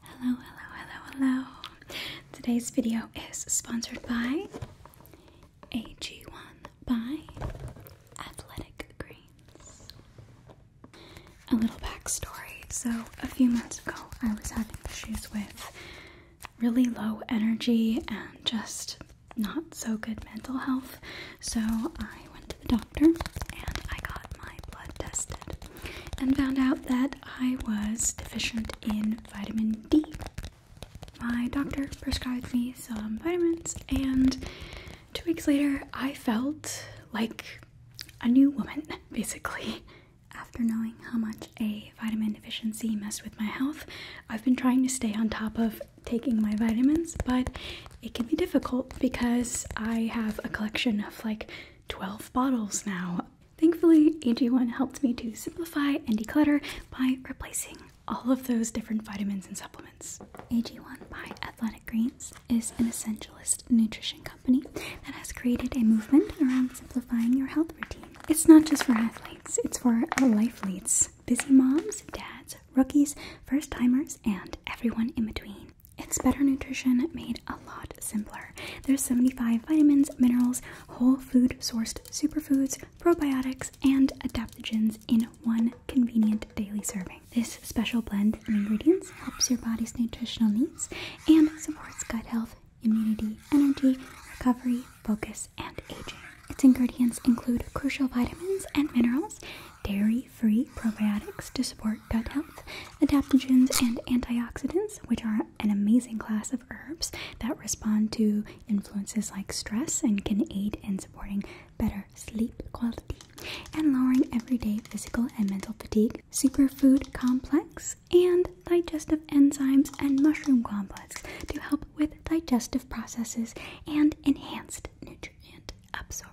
Hello, hello, hello, hello. Today's video is sponsored by AG1 by Athletic Greens. A little backstory. So, a few months ago, I was having issues with really low energy and just not so good mental health. So, I went to the doctor and I got my blood tested and found out that I was deficient in vitamin D. My doctor prescribed me some vitamins, and two weeks later, I felt like a new woman, basically. After knowing how much a vitamin deficiency messed with my health, I've been trying to stay on top of taking my vitamins, but it can be difficult because I have a collection of like 12 bottles now Thankfully, AG1 helped me to simplify and declutter by replacing all of those different vitamins and supplements. AG1 by Athletic Greens is an essentialist nutrition company that has created a movement around simplifying your health routine. It's not just for athletes, it's for life leads, busy moms, dads, rookies, first timers, and everyone in between. It's Better Nutrition made a lot simpler. There's 75 vitamins, minerals, whole food sourced superfoods, probiotics, and adaptogens in one convenient daily serving. This special blend of ingredients helps your body's nutritional needs and supports gut health, immunity, energy, recovery, focus, and aging. Its ingredients include crucial vitamins and minerals, dairy-free probiotics to support gut health, adaptogens and antioxidants, which are an amazing class of herbs that respond to influences like stress and can aid in supporting better sleep quality and lowering everyday physical and mental fatigue. Superfood complex and digestive enzymes and mushroom complex to help with digestive processes and enhanced nutrient absorption.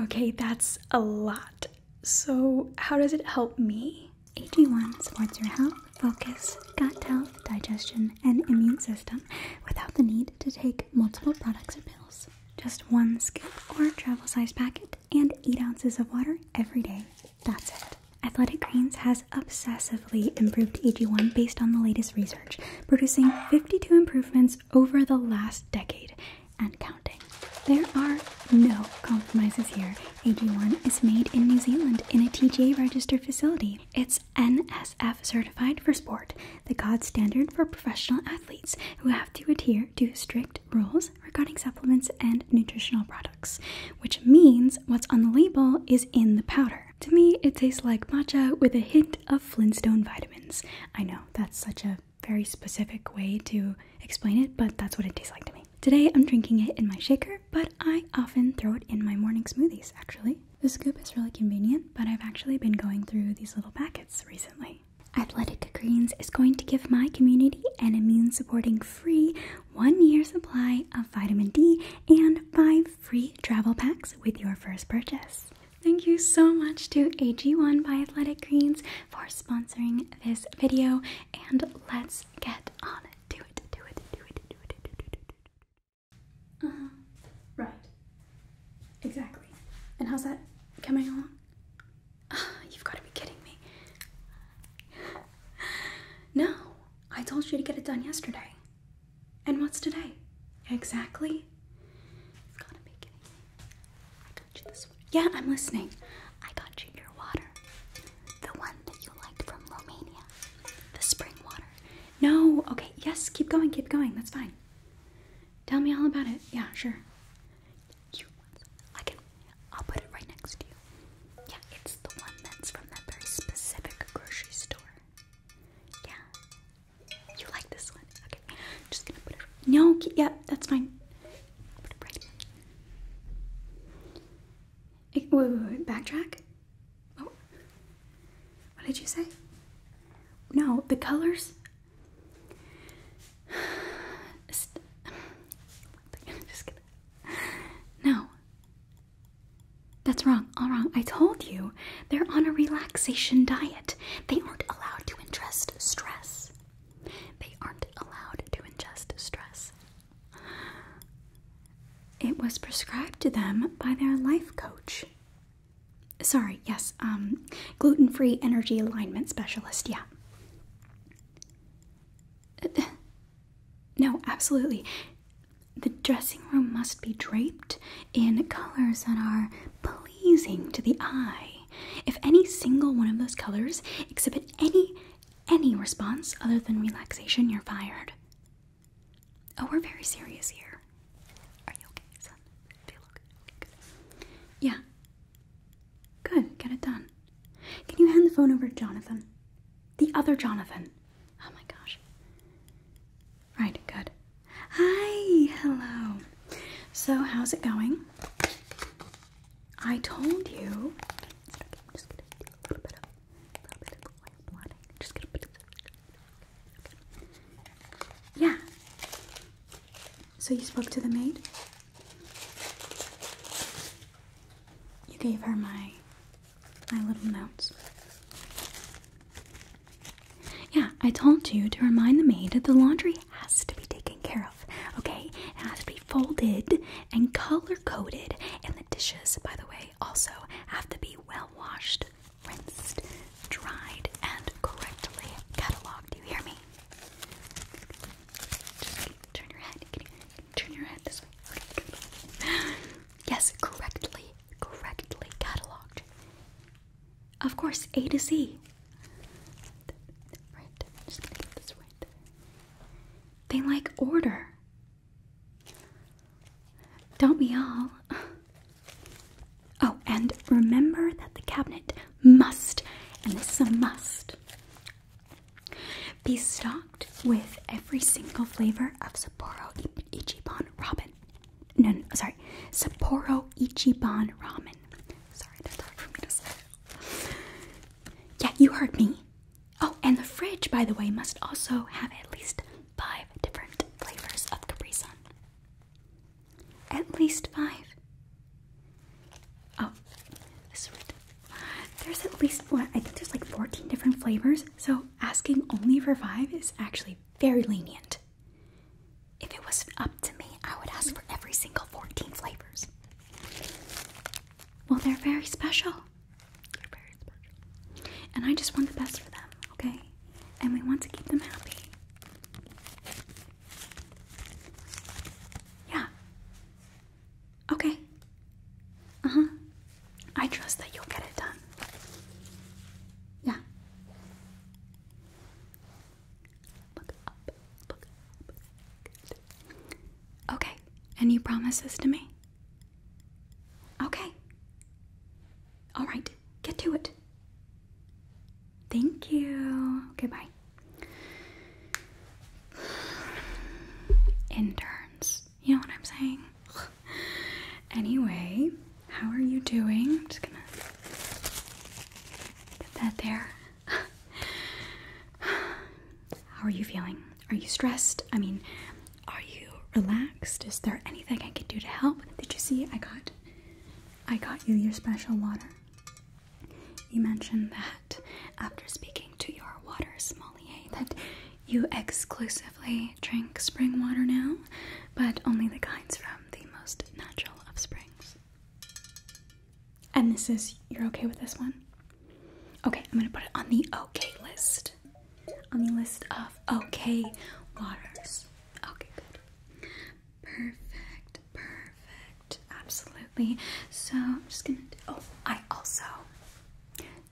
Okay, that's a lot. So, how does it help me? AG1 supports your health, focus, gut health, digestion, and immune system without the need to take multiple products or pills. Just one scoop or travel sized packet and 8 ounces of water every day. That's it. Athletic Greens has obsessively improved AG1 based on the latest research, producing 52 improvements over the last decade and counting there are no compromises here. AG1 is made in New Zealand in a TGA registered facility. It's NSF certified for sport, the gold standard for professional athletes who have to adhere to strict rules regarding supplements and nutritional products, which means what's on the label is in the powder. To me, it tastes like matcha with a hint of Flintstone vitamins. I know that's such a very specific way to explain it, but that's what it tastes like to me. Today I'm drinking it in my shaker, but I often throw it in my morning smoothies actually. The scoop is really convenient, but I've actually been going through these little packets recently. Athletic Greens is going to give my community an immune supporting free one year supply of vitamin D and five free travel packs with your first purchase. Thank you so much to AG1 by Athletic Greens for sponsoring this video, and let's Let's get on it. Do it, do it, do it, do it, do it, do it. Do it. Uh-huh. Right. Exactly. And how's that coming along? Oh, you've got to be kidding me. no, I told you to get it done yesterday. And what's today? Exactly. You've got to be kidding me. Yeah, I'm listening. I got you your water. The one that you liked from Romania. The spring water. No, okay, yes, keep going, keep going. That's fine. Tell me all about it. Yeah, sure. You I can I'll put it right next to you. Yeah, it's the one that's from that very specific grocery store. Yeah. You like this one. Okay. just gonna put it No, yeah, that's fine. put it right Wait, backtrack? Oh. What did you say? No, the colors. no. That's wrong, all wrong. I told you, they're on a relaxation diet. They aren't allowed to ingest stress. They aren't allowed to ingest stress. It was prescribed to them by their life coach. Sorry, yes, um, gluten free energy alignment specialist, yeah. Uh, no, absolutely. The dressing room must be draped in colors that are pleasing to the eye. If any single one of those colors exhibit any any response other than relaxation, you're fired. Oh, we're very serious here. Are you okay, son? Do good? Yeah. Good, get it done. Can you hand the phone over to Jonathan? The other Jonathan. Oh my gosh. Right, good. Hi, hello. So, how's it going? I told you. Yeah. So you spoke to the maid? You gave her my my little notes. Yeah, I told you to remind the maid that the laundry has to be taken care of. Okay, it has to be folded and color coded, and the dishes, by the way, also have to be well washed, rinsed, dried, and correctly cataloged. Do you hear me? turn your head. turn your head this way. Yes, correctly, correctly cataloged. Of course, A to Z. They like order. Don't we all? Oh, and remember that the cabinet must, and this is a must, be stocked with every single flavor of Sapporo Ichiban Ramen. No, no, sorry, Sapporo Ichiban Ramen. Sorry, that's hard for me to say. Yeah, you heard me. Oh, and the fridge, by the way, must also have at least five different flavors of Capri Sun. At least five. Oh, sweet. There's at least one. I think there's like 14 different flavors, so asking only for five is actually very lenient. If it was up to me, I would ask for every single 14 flavors. Well, they're very special. And I just want the best for them, okay? And we want to keep them happy. Yeah. Okay. Uh huh. I trust that you'll get it done. Yeah. Look up. Look up. Okay, and you promise this to me? Okay. All right, get to it. Thank you. Goodbye. Interns. You know what I'm saying? anyway, how are you doing? I'm just gonna put that there. how are you feeling? Are you stressed? I mean, are you relaxed? Is there anything I can do to help? Did you see I got I got you your special water? You mentioned that after speaking to your water sommelier that you exclusively drink spring water now, but only the kinds from the most natural of springs. And this is you're okay with this one? Okay, I'm gonna put it on the okay list. On the list of okay waters. Okay, good. Perfect, perfect. Absolutely. So I'm just gonna oh, I also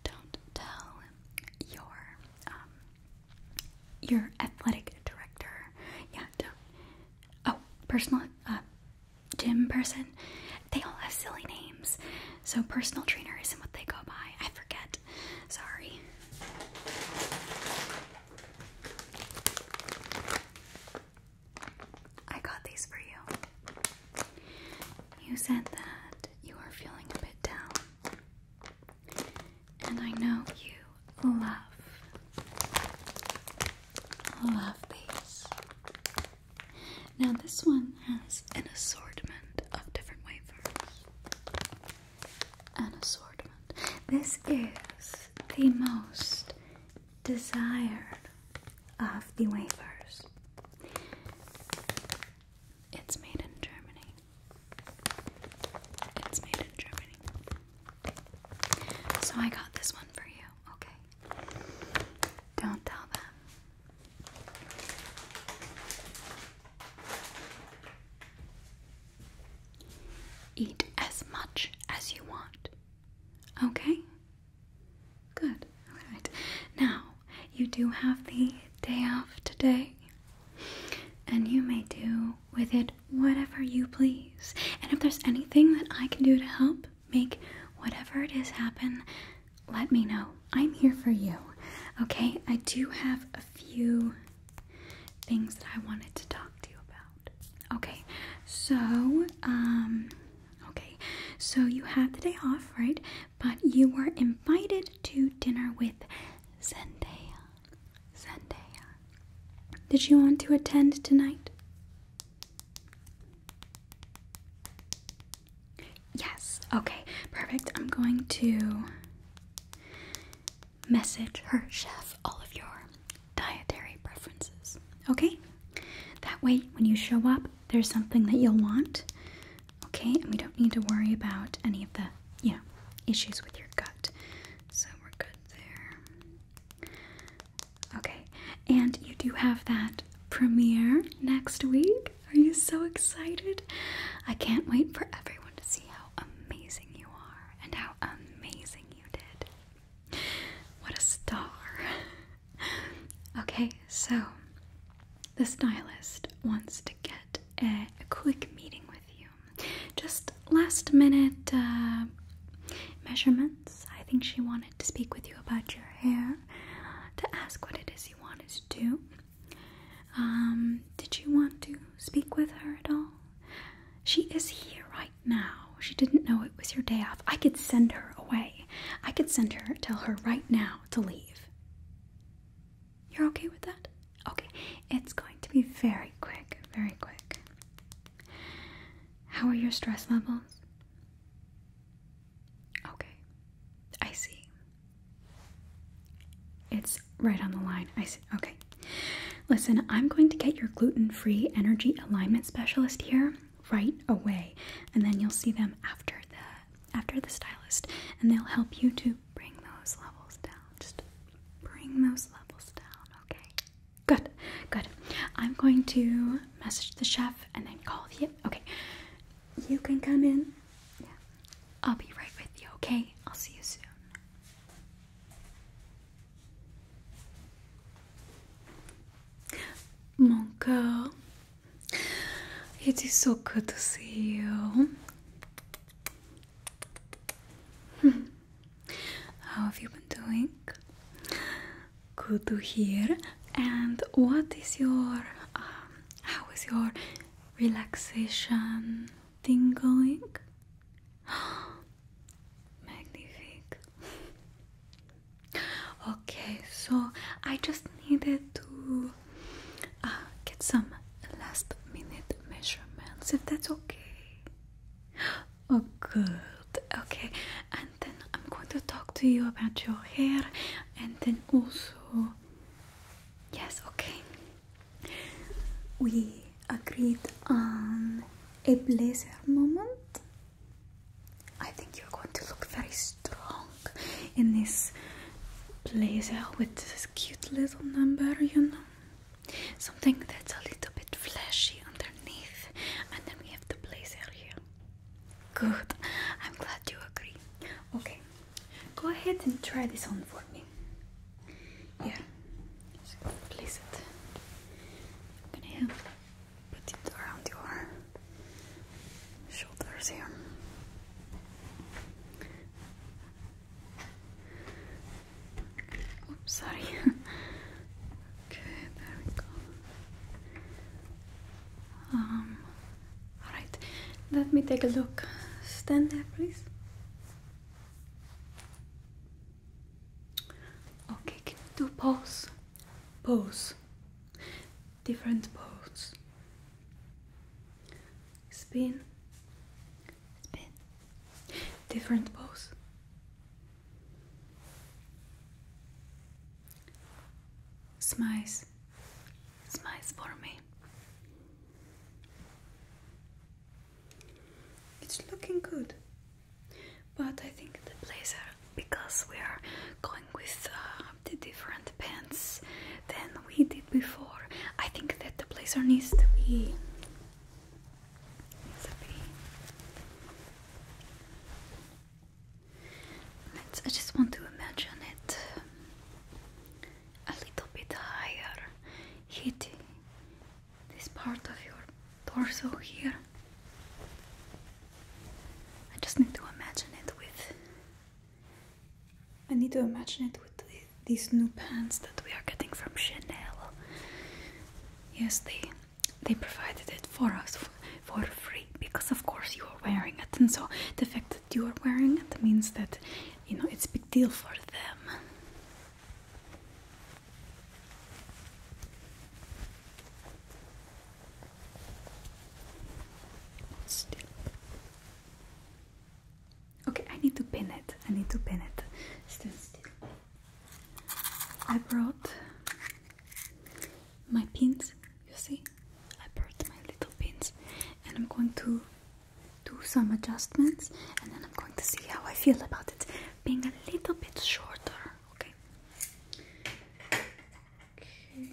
don't tell your um, your athletic director. Yeah, do Oh, personal uh, gym person, they all have silly names. So personal trainer isn't what they go by. I forget. Sorry. I got these for you. You said that you are feeling a bit down. And I know you love love these. Now, this one has an assortment of different wafers. An assortment. This is the most desired of the wafers. It's made in Germany. It's made in Germany. So I got this one for you, okay? Don't tell them. Eat as much as you want. Okay? Good. Alright. Now, you do have the day off today, and you may do with it whatever you please. And if there's anything that I can do to help make whatever it is happen, let me know. I'm here for you. Okay? I do have a few things that I wanted to talk to you about. Okay. So, um okay. So you have the day off, right? But you were invited to dinner with Zendaya. Zendaya. Did you want to attend tonight? Yes, okay, perfect. I'm going to message her chef all of your dietary preferences, okay? That way, when you show up, there's something that you'll want, okay? And we don't need to worry about any of the, you know, issues with your gut. So we're good there. Okay, and you do have that premiere next week. Are you so excited? I can't wait for everyone to see how amazing you are and how amazing you did. What a star. Okay, so the stylist wants to get a, quick meeting with you. Just last minute uh, measurements. I think she wanted to speak with you about your hair, to ask what it is you wanted to. Um, did she want to speak with her at all? She is here right now. She didn't know it was your day off. I could send her away. I could send her, tell her right now to leave. You're okay with that? Okay, it's going to be very quick, very quick. How are your stress levels? Okay. I see. It's right on the line. I see. Okay. Listen, I'm going to get your gluten free energy alignment specialist here right away. And then you'll see them after the after the stylist. And they'll help you to bring those levels down. Just bring those levels down, okay? Good, good. I'm going to message the chef and then call you. Okay. You can come in. Yeah. I'll be right with you, okay? I'll see you soon. Monka, it is so good to see you. Hmm. How have you been doing? Good to hear. And what is your um, how is your relaxation thing going? Magnific. Okay, so I just needed to uh, get some last minute measurements if that's okay. Oh, good. Okay, and then I'm going to talk to you about your hair and then also Yes, okay. We agreed on a blazer moment. I think you're going to look very strong in this blazer with this cute little number, you know. Something that's a little bit flashy underneath, and then we have the blazer here. Good, I'm glad you agree. Okay, Go ahead and try this on for me. Yeah, place it. I'm put it around your shoulders here. Oops, sorry. okay, there we go. Um, Alright, let me take a look. Stand there, please. Okay, can you do pose? Pose. Different pose. Spin. Spin. Different pose. Smiles smiles for me. It's looking good, but I think the blazer, because we are going with uh, the different pants than we did before, I think that the blazer Needs to be I just want to imagine it um, a little bit higher, hitting this part of your torso here. I just need to imagine it with. I need to imagine it with these new pants that we are getting from Chanel. Yes, they they provided it for us for free because of course you are wearing it, and so the fact you are wearing. It means that you know it's a big deal for them. Okay, I need to pin it. I need to pin it. Still, still. I brought my pins, you see? I brought my little pins and I'm going to do some adjustments and then I'm going to see how I feel about it being a little bit shorter, okay? Okay.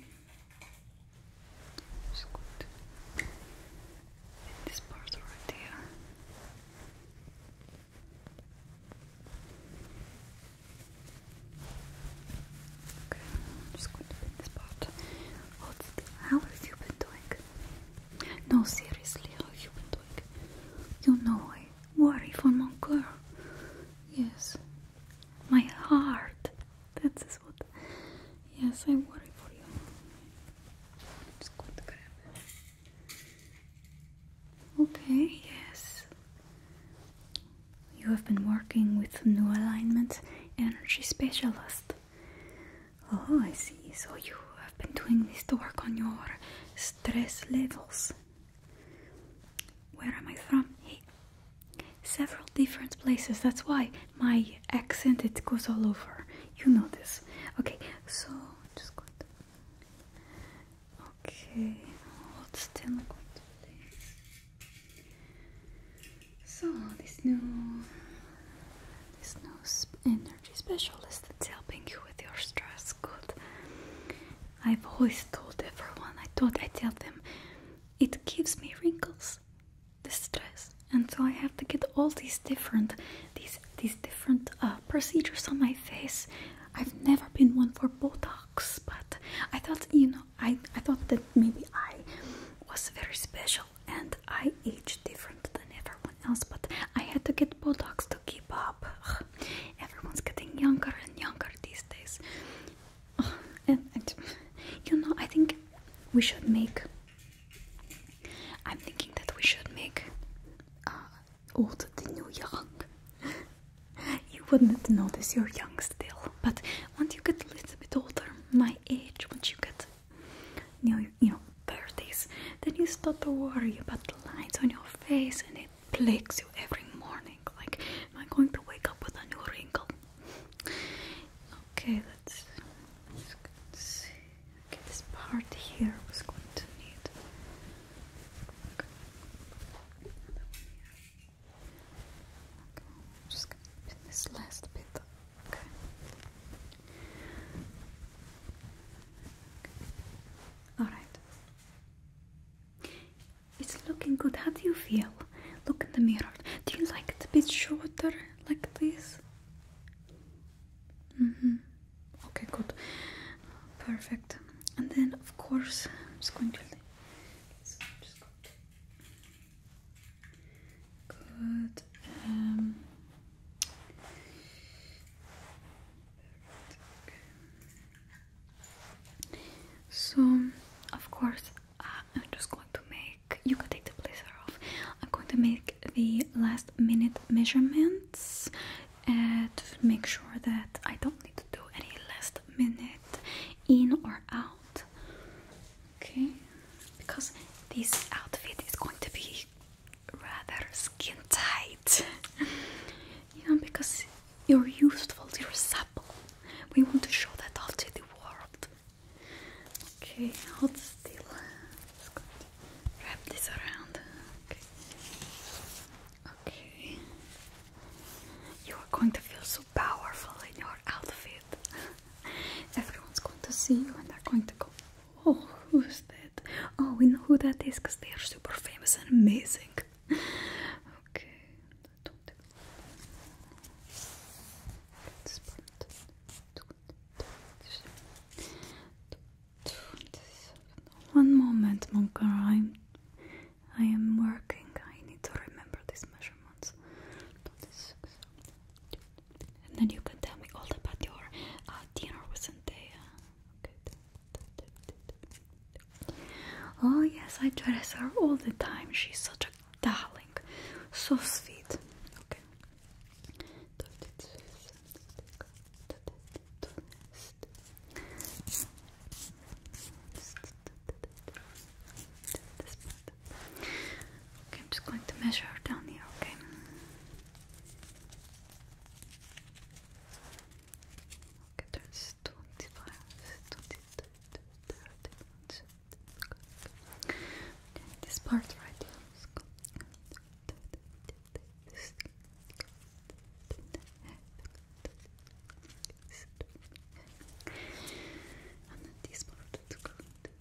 Just good. This part right here. Okay, I'm just going to pin this part. how have you been doing? No, seriously, how have you been doing? You know I worry for my girl. Yes, my heart. That is what. Yes, I worry for you. Okay, yes. You have been working with New Alignment Energy Specialist. Oh, I see. So you have been doing this to work on your stress levels. Where am I from? Hey, several different places. That's why my accent it goes all over. You know this. Okay, so I'm just going Okay, hold still. i going to. So this new this new energy specialist that's helping you with your stress, good. I've always told everyone. I thought I tell them it gives me wrinkles, the stress, and so I have to get all these different these these different uh, procedures on my face. I've never been one for Botox, but I thought you know I I thought that maybe I was very special and I age different than everyone else, but I had to get Bulldogs to keep up. Everyone's getting younger and younger these days. And, you know, I think we should make. I'm thinking that we should make uh, old the new young. you wouldn't notice you're young still, but once you get a little bit older, my age, which you get you know, 30s, then you start to worry about the lines on your face and it plagues you every morning. Like, am I going to wake up with a new wrinkle? Okay, let's, get this part here was going to need. just going this last bit Okay. All right. It's looking good. How do you feel? Look in the mirror. Do you like it a bit shorter, like this? Mm hmm. Okay, good. Perfect. And then, of course, I'm just going to. let to Good. Um, so, of course, uh, I'm just going to make. You can take the blazer off. I'm going to make the last minute measurements and make sure that I don't need to do any last minute in or out. Okay, because this outfit is going to be rather skin tight, you know, because you're useful, you're supple. We want to show that off to the world. Okay, hold still. wrap this around. Okay. okay. You are going to feel so powerful in your outfit. Everyone's going to see you and they're going to go, Oh, who's that? Oh, we know who that is because they are super famous and amazing. Okay, One moment, Monka. I'm, I am working. I need to remember these measurements. And then you can tell me all about your uh, dinner, wasn't it? Uh, oh yes, I dress her all the time. She's such a darling, so sweet. Okay, I'm just going to measure down here, okay? Okay, there's 25, okay. This part right here. And then this part is good. Okay.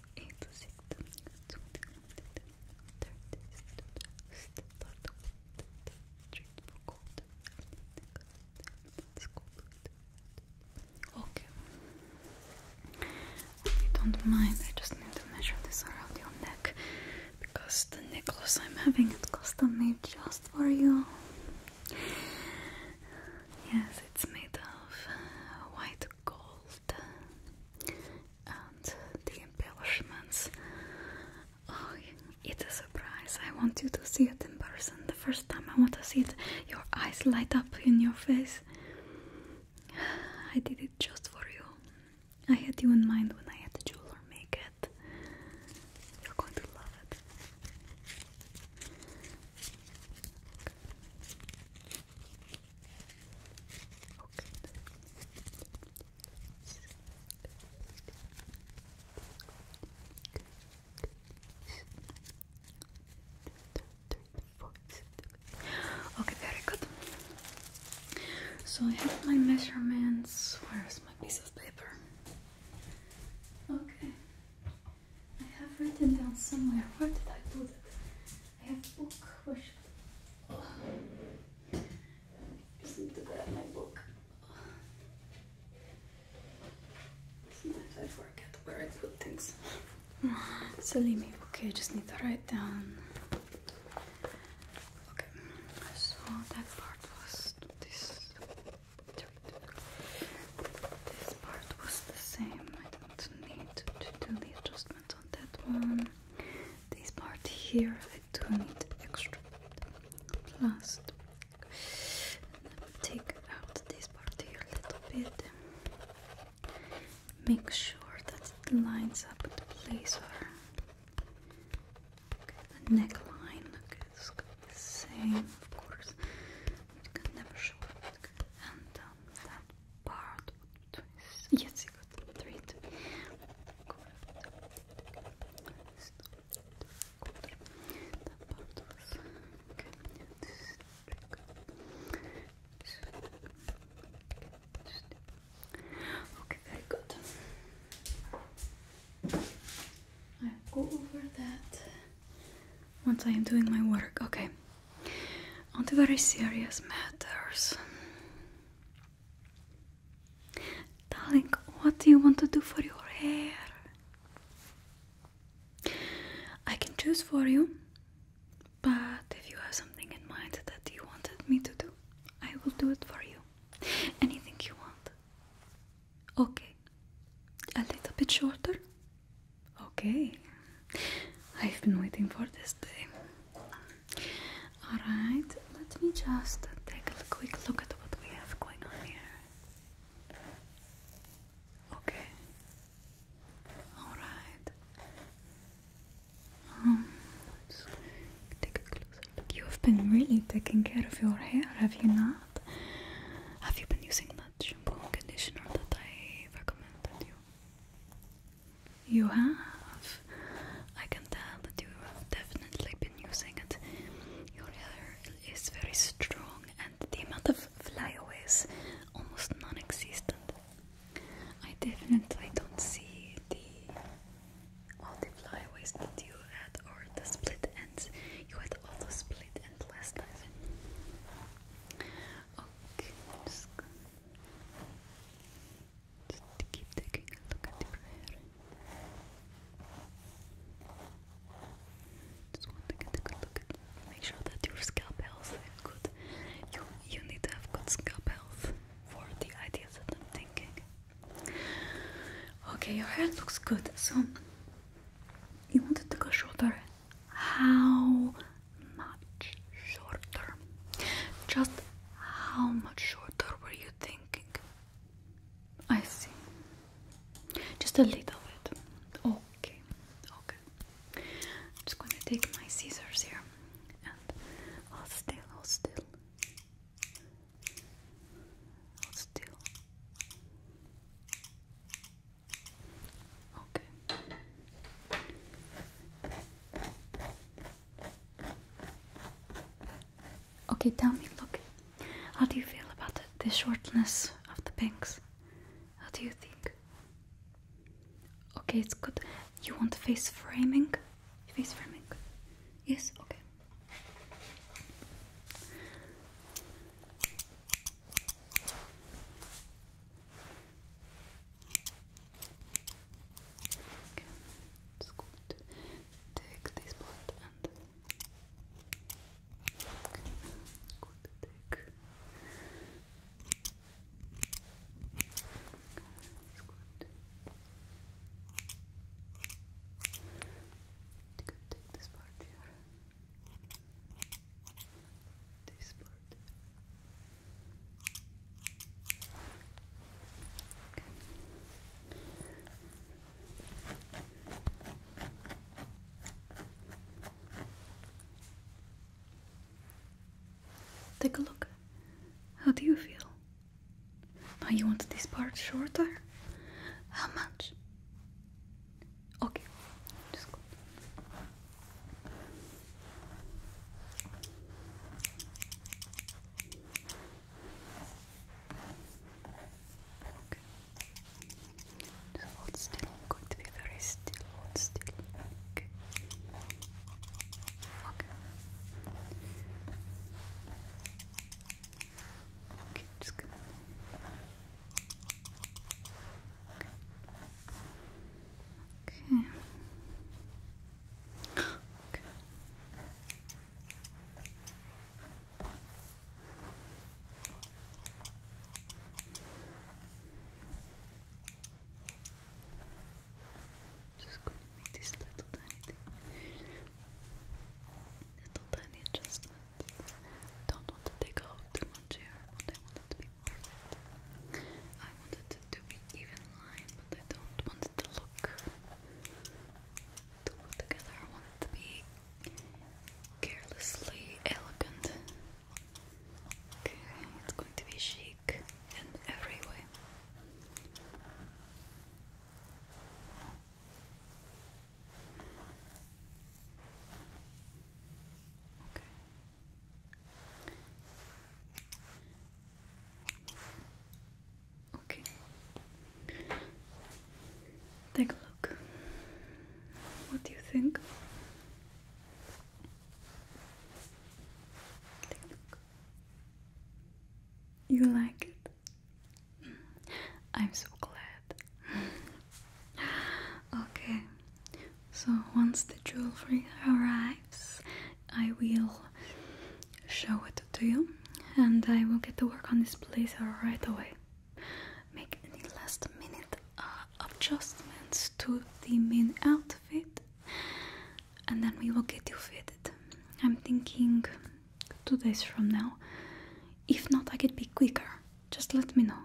If you don't mind, I just need to measure this around your neck because the necklace I'm having it custom made just for you. Yes, it's made of white gold and the embellishments. Oh, it's a surprise. I want you to see it in person. The first time I want to see it, your eyes light up in your face. I did it just for you. I had you in mind when I had the jeweler make it. You're going to love it. Okay, very good. So I have my measurements. Where's my piece of paper? Okay. I have written down somewhere. Where did I put it? I have book. Where should... I just need my book. Sometimes I forget where I put things. So leave me. Okay, I just need to write down. Okay, so that part was this. This part was the same. I don't need to delete just treatment on that one. This part here, I do need extra Plus, Take out this part here a little bit. Make sure that it lines up with the blazer. Okay, the neckline, okay, it's going the same, of course. You can never show And um, that part yes, you got the three. Okay, very good. I'll go over that once I am doing my work. Okay on the very serious matters. Darling, what do you want to do for your hair? I can choose for you, but if you have something in mind that you wanted me to do, I will do it for you. Anything you want. Okay, a little bit shorter, Okay, I've been waiting for this day. Alright, let me just take a quick look at what we have going on here. Okay, alright. Um, let's take a closer look. You've been really taking care of your hair, have you not? Have you been using that shampoo and conditioner that I recommended you? You have. I can tell that you have definitely been using it. Your hair is very strong, and the amount of flyaways almost non-existent. I definitely don't see the all the flyaways that you had, or the split ends. You had all the split ends last time. Okay, just keep taking look at your hair. Just want to get a look at make sure that your scalp health is good. You you need to have good scalp health for the ideas that I'm thinking. Okay, your hair looks good, so you wanted to take a shorter how much shorter? Just how much shorter were you thinking? I see. Just a little bit. Okay, okay. I'm just going to take my scissors here and i hold still, hold still. Hold still. Okay. Okay, tell me, look, how do you feel about it? The shortness of the bangs? How do you think? Okay, it's good. You want face framing? Face framing? Yes, okay. Okay, it's good. Take this part and good. Take. good. take this part here. Take a look. How do you feel? Now you want this part shorter? How much? Okay, just go. Just hold still. I'm going to be very still. Hold still. Okay. Okay. Okay, just gonna. Okay. Okay. Just gonna make this little tiny Little tiny adjustments. Don't want to take off too much here, I wanted it to be even line, but I don't want it to look too together. I want it to be carelessly elegant. Okay, it's going to be chic in every way. Okay. Take a look. What do you think? You like it? I'm so glad. okay, so once the jewelry arrives, I will show it to you and I will get to work on this blazer right away. Make any last minute uh, adjustments to the main outfit and then we will get you fitted. I'm thinking two days from now. If not, I could be quicker. Just let me know.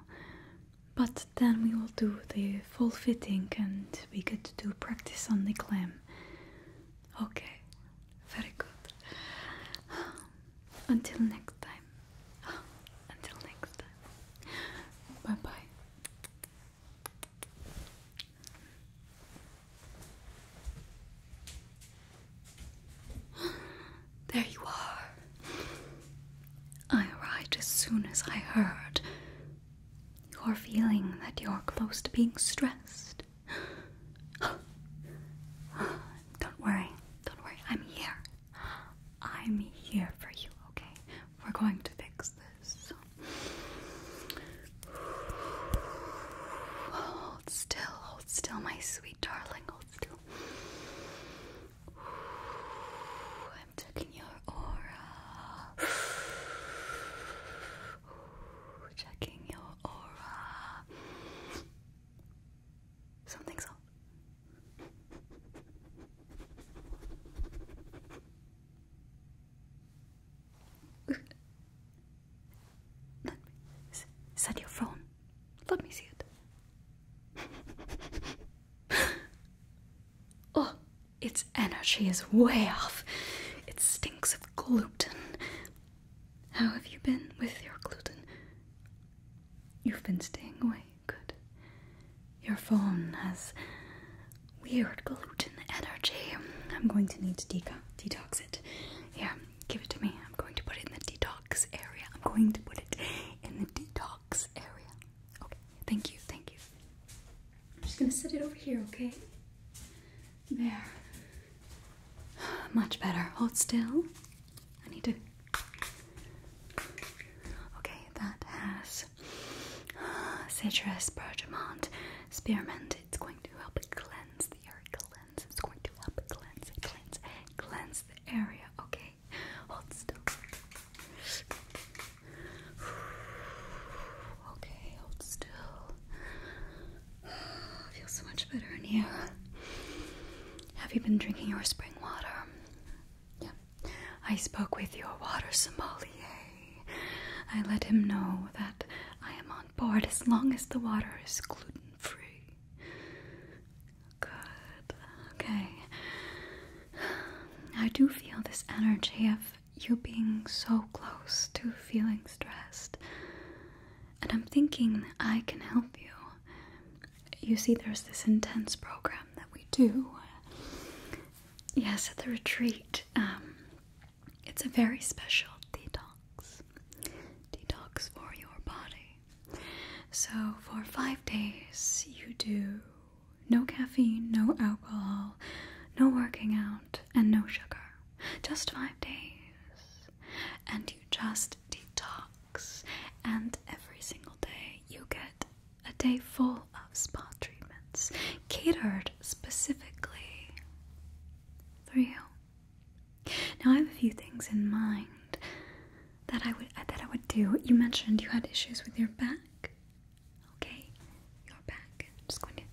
But then we will do the full fitting and we get to do practice on the clam. Okay, very good. Until next time. Until next time. Bye bye. There you are. I arrived as soon as I heard you're feeling that you're close to being stressed. don't worry, don't worry. I'm here. I'm here for you, okay? We're going to fix this. Hold still, hold still, my sweet darling, hold still. I'm checking your aura. checking your aura. Something's up. Let me, is, your phone? Let me see it. Oh, its energy is way off. It stinks of gluten. How have you been with your gluten? You've been staying away, good. Your phone has weird gluten energy. I'm going to need to detox it. Yeah, give it to me. I'm going to put it in the detox area. I'm going to put it in the detox area. Okay, thank you, thank you. I'm just gonna set it over here, okay? There. Much better. Hold still. I need to. Okay, that has uh, citrus, bergamot, spearmint. It's going to help cleanse the area. Cleanse. It's going to help cleanse, cleanse, cleanse the area. Okay, hold still. Okay, hold still. I so much better in here. Have you been drinking your spring water? Yeah. I spoke with your water sommelier. I let him know that I am on board as long as the water is gluten free. Good. Okay. I do feel this energy of you being so close to feeling stressed. And I'm thinking I can help you. You see, there's this intense program that we do. Yes, at the retreat. Um, it's a very special detox. Detox for your body. So, for five days, you do no caffeine, no alcohol, no working out, and no sugar. Just five days. And you just detox. And every single day you get a day full of spa treatments catered specifically for you. Now I have a few things in mind that I would that I would do. You mentioned you had issues with your back. Okay, you're back. just going to,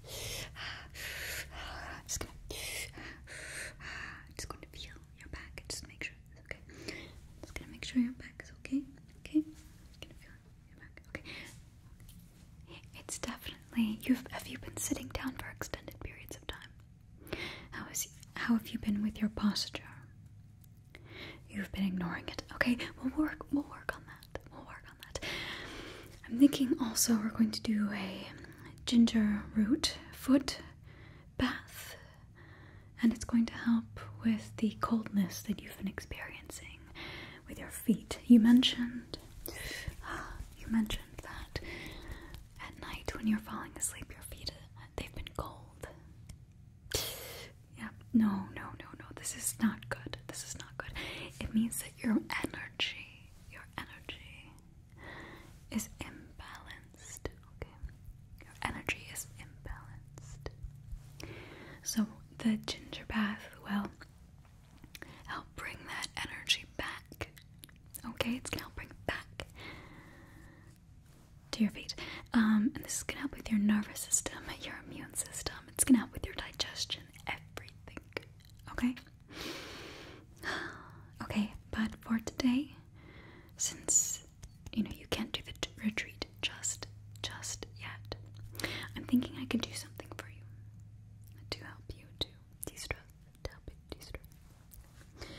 just gonna, just going to feel your back. Just make sure it's okay. Just gonna make sure your back is okay. Okay, gonna feel your back. Okay. It's definitely. You've have you been sitting down for extended periods of time? How is how have you been with your posture? You've been ignoring it. Okay, we'll work. We'll work on that. We'll work on that. I'm thinking also we're going to do a ginger root foot bath, and it's going to help with the coldness that you've been experiencing with your feet. You mentioned, you mentioned that at night when you're falling asleep, your feet they've been cold. Yeah, no, no, no, no. This is not good. This is not good. It means that your energy, your energy is imbalanced. Okay, your energy is imbalanced. So the ginger bath will help bring that energy back. Okay, it's gonna help bring it back to your feet. Um, and this is gonna help with your nervous system, your immune system. It's gonna help with your digestion, everything. Okay? Okay, but for today, since you know you can't do the retreat just just yet, I'm thinking I could do something for you to help you to de-stress, help you de-stress.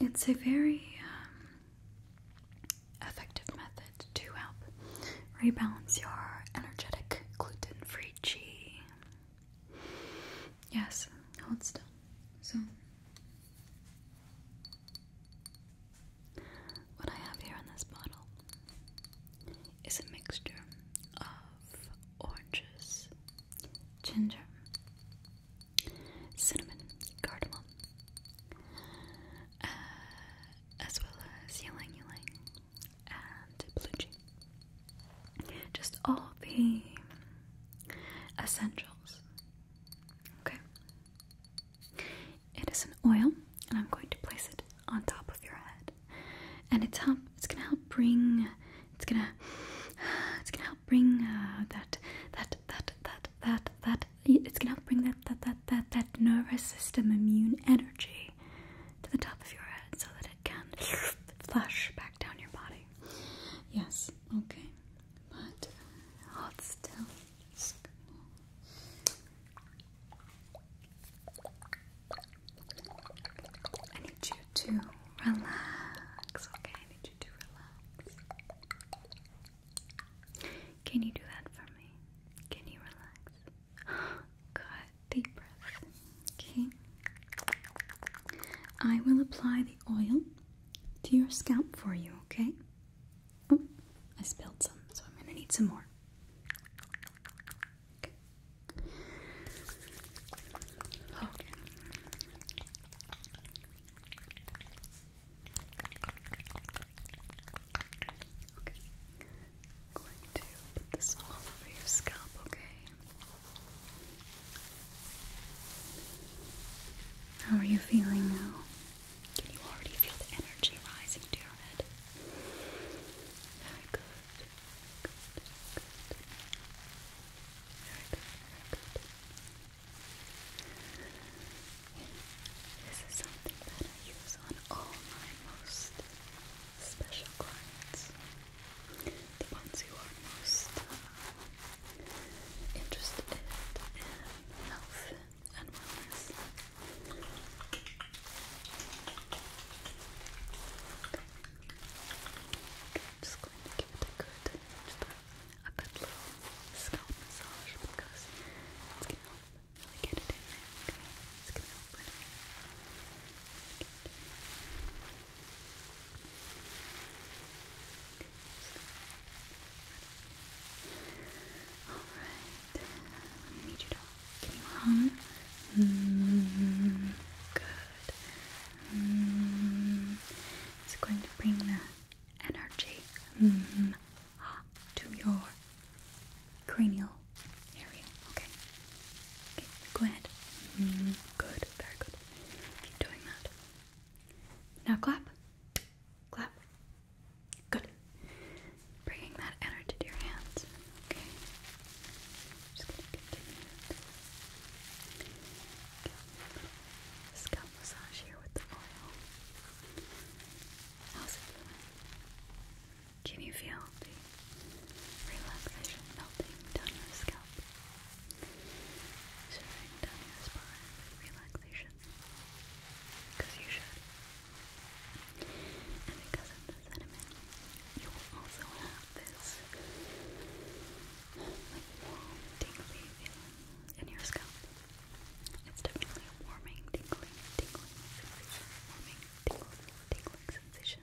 It's a very um, effective method to help rebalance your energetic gluten-free preachy. Yes, hold still. So, what I have here in this bottle is a mixture of oranges, ginger, cinnamon, cardamom, uh, as well as ylang ylang, and blue jean. Just all the essentials. Okay. It is an oil, and I'm going to place it on top of your head. And it's help. It's gonna help bring. It's gonna. It's gonna help bring uh, that that that that that that. It's gonna help bring that that that that that nervous system immune energy to the top of your head so that it can flush back down your body. Yes, okay. But hold still. I need you to relax. Okay, I need you to relax. Can you do that for me? Can you relax? Good. Deep breath. Okay. I will apply the oil to your scalp for you, okay? Oh, I spilled some, so I'm gonna need some more. Okay going to put this all over your scalp, okay? How are you feeling now? Can you already feel the energy rising to your head? Very good. Good, good. Very good, very good. This is something that I use on all my most special clients, the ones who are most uh, interested in health and wellness. give it a good, a, good little scalp massage because it's going to help get it in there. it's going to help it. Alright, need mm, you to give me good. Mm, it's going to bring the energy mm, to your cranial area. Okay. Okay, go ahead. Mm-hmm. Good, very good. Keep doing that. Now clap. Clap. Good. Bringing that energy to your hands. Okay. Just gonna continue. Okay. Scalp massage here with the oil. How's can you feel the relaxation melting down your scalp? Shifting down your spine relaxation. Because you should. And because of the sediment, you will also have this like warm, tingly in your scalp. It's definitely warming, tingling, tingling sensation. Warming, tingling, tingling sensation.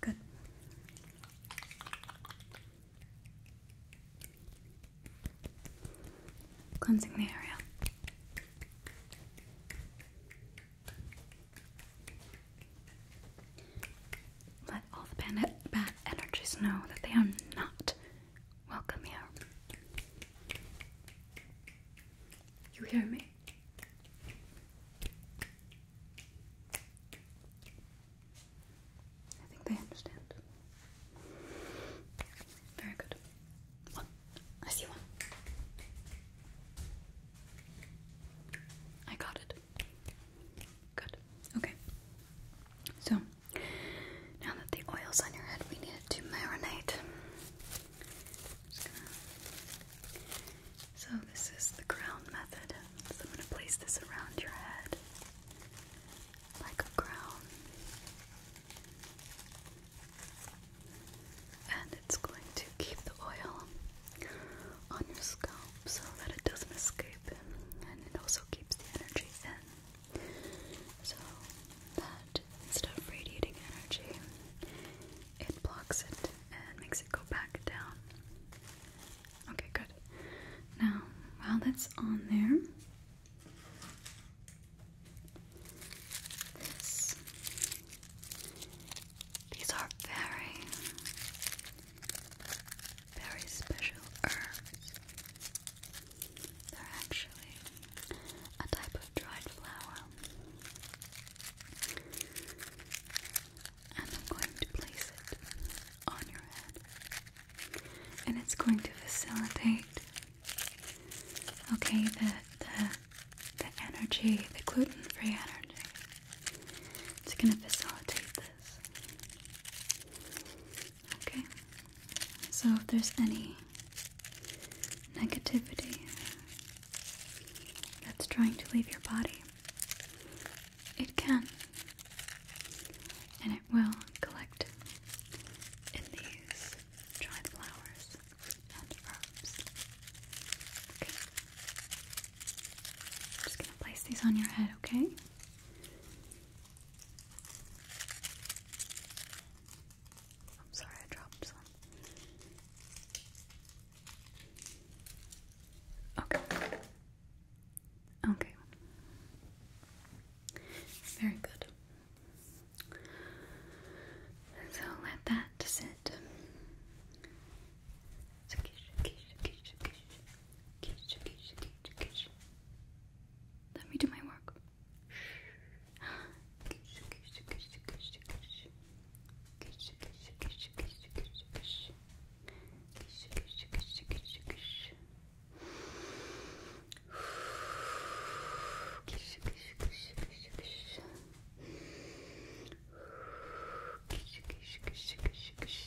Good. Good. Cleansing the area. Let all the bad, energies know that they are not welcome here. You hear me? I think they understand. Very good. One. I see one. I got it. Good. Okay. So now that the oil's on your head, we need it to marinate. So this is the crown method. So I'm gonna place this around your head like a crown. And it's going to keep the oil on your scalp so that it doesn't escape and it also keeps the energy in so that instead of radiating energy, it blocks it and makes it go back down. Okay, good. Now, while that's on there, these are very very special herbs. They're actually a type of dried flower. And I'm going to place it on your head. And it's going to facilitate okay the the the energy, the gluten-free energy. It's gonna facilitate Okay, so if there's any negativity that's trying to leave your body, it can and it will collect in these dried flowers and herbs. Okay. just gonna place these on your head, okay? I'm sorry, I dropped some. Okay. Okay. Very good. So let that sit. Kish, kish, kish, kish. Let me do my work. Kish, kish, kish, kish, kish. Kish, kish, kish, kish, kish, kish. Kish, kish, kish, kish, kish. Kish, kish, kish, kish, kish. Kish, kish, kish, kish, kish.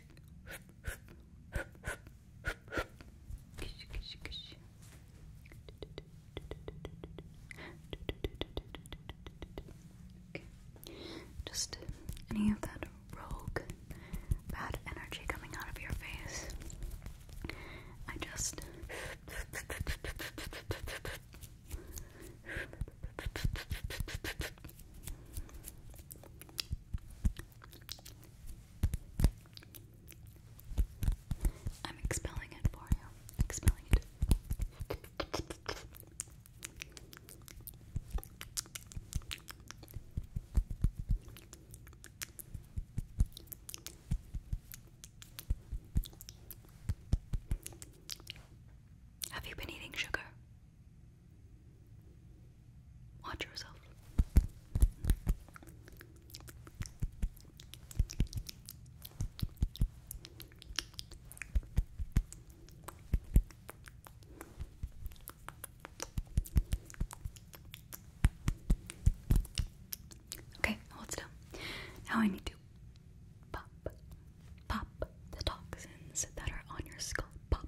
Okay. Just any of that rogue bad energy coming out of your face. I just I'm expelling it for you. Expelling it. Have you been eating sugar? Watch yourself. Okay, hold still. Now I need to pop, pop the toxins that are on your skull. Pop,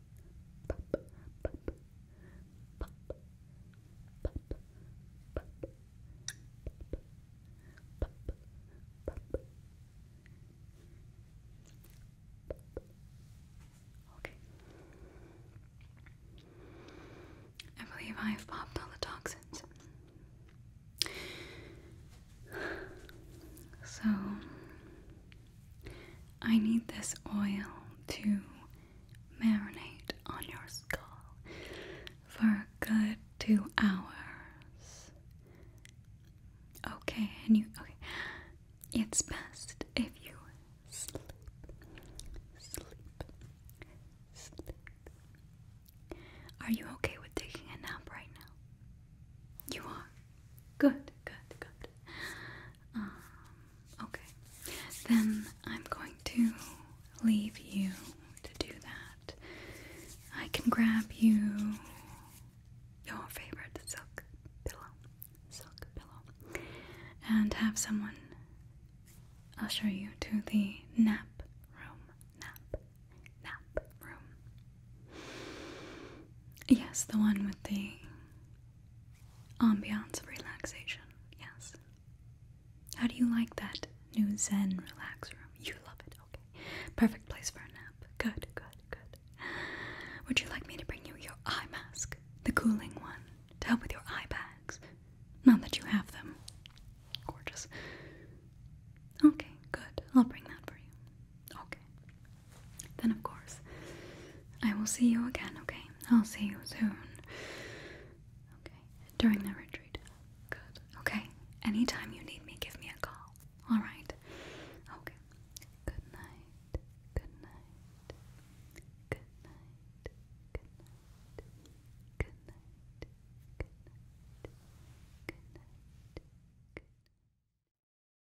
Okay. I believe I have popped all the toxins. So, I need this oil to marinate on your skull for a good two hours. Okay, and you okay. It's best if you sleep. Sleep. Sleep. Are you okay with taking a nap right now? You are. Good, good, good. Um, okay, then I'm going to leave you to do that. I can grab you your favorite silk pillow, silk pillow, and have someone usher you to the nap room, nap, nap room. Yes, the one with the ambiance of relaxation. Yes. How do you like that new Zen relax room? You love it. Okay. Perfect place for a nap. Good, good, good. Would you like me to bring you your eye mask? The cooling one to help with your eye bags. Not that you have them. Gorgeous. Okay, good. I'll bring that for you. Okay. Then, of course, I will see you again, okay? I'll see you soon. Okay. During the retreat. Good. Okay. Anytime you need me, give me a call. Alright. Okay. Good night. Good night. Good night. Good night. Good night. Good night. Good night. Good